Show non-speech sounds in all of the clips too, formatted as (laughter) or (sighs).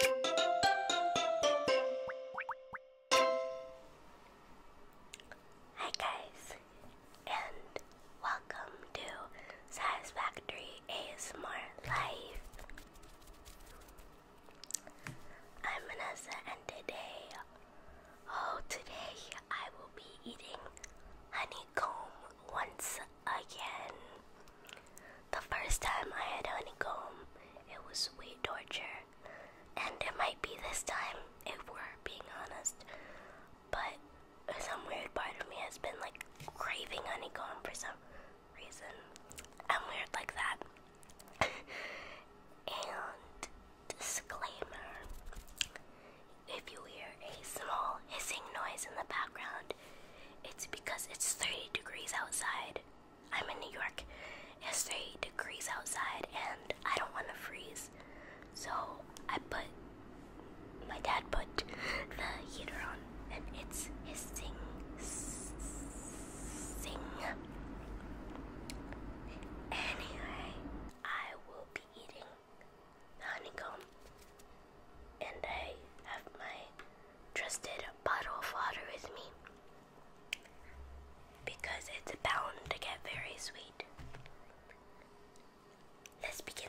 Hi guys, and welcome to Satisfactory ASMR Live. I'm Vanessa, and today, oh, today I will be eating honeycomb once again. The first time I had honeycomb, it was way torture. And it might be this time, if we're being honest. But some weird part of me has been like craving honeycomb for some reason. I'm weird like that. (laughs) and disclaimer if you hear a small hissing noise in the background, it's because it's 30 degrees outside I'm in New York. It's 30 degrees outside and I don't want to freeze. So I put, my dad put the heater on and it's hissing, sing. Anyway, I will be eating honeycomb and I have my trusted bottle of water with me because it's bound to get very sweet. Let's begin.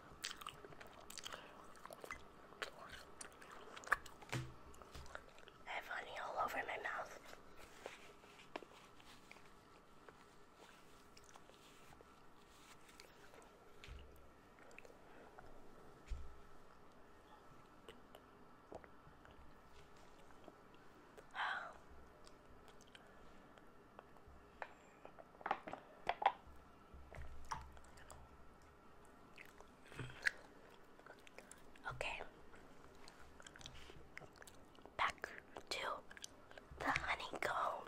I have honey all over my mouth. Okay. Back to the honeycomb.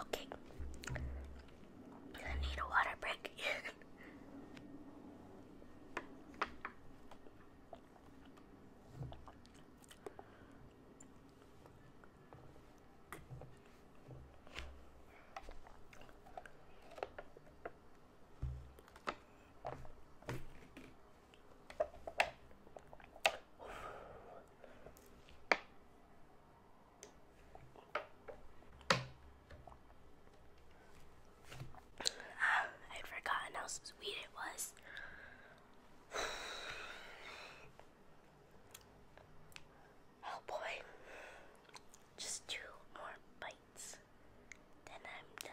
Okay. I need a water break. (laughs) Um, I'd forgotten how sweet it was. (sighs) Oh boy. Just two more bites, then I'm done.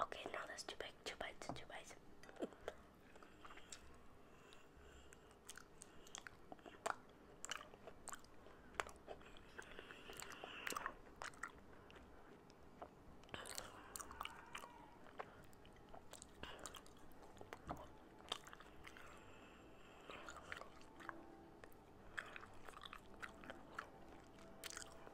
Okay, now that's too big. Two bites, two bites.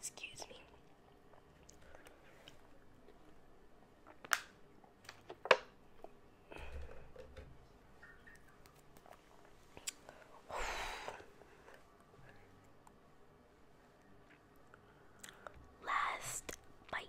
Excuse me. Last bite.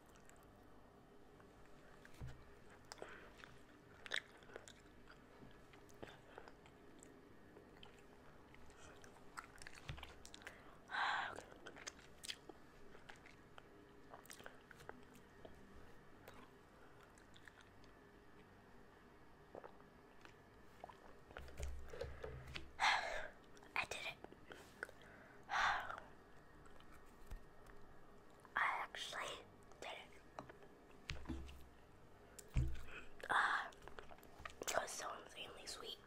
(sighs) I did it. (sighs) I actually did it. Uh, (sighs) it was so insanely sweet.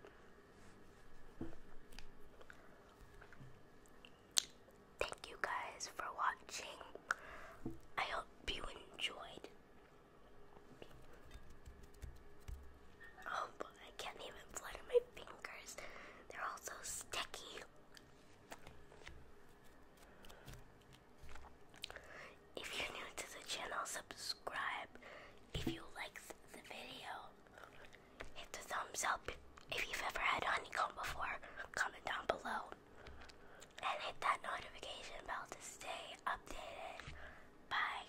Thank you guys for watching. I hope you enjoyed. Oh, but I can't even flutter my fingers. They're all so sticky. If you're new to the channel, subscribe. If you liked the video, hit the thumbs up. If you've ever had honeycomb before, comment down below. And hit that notification bell to stay updated. Bye.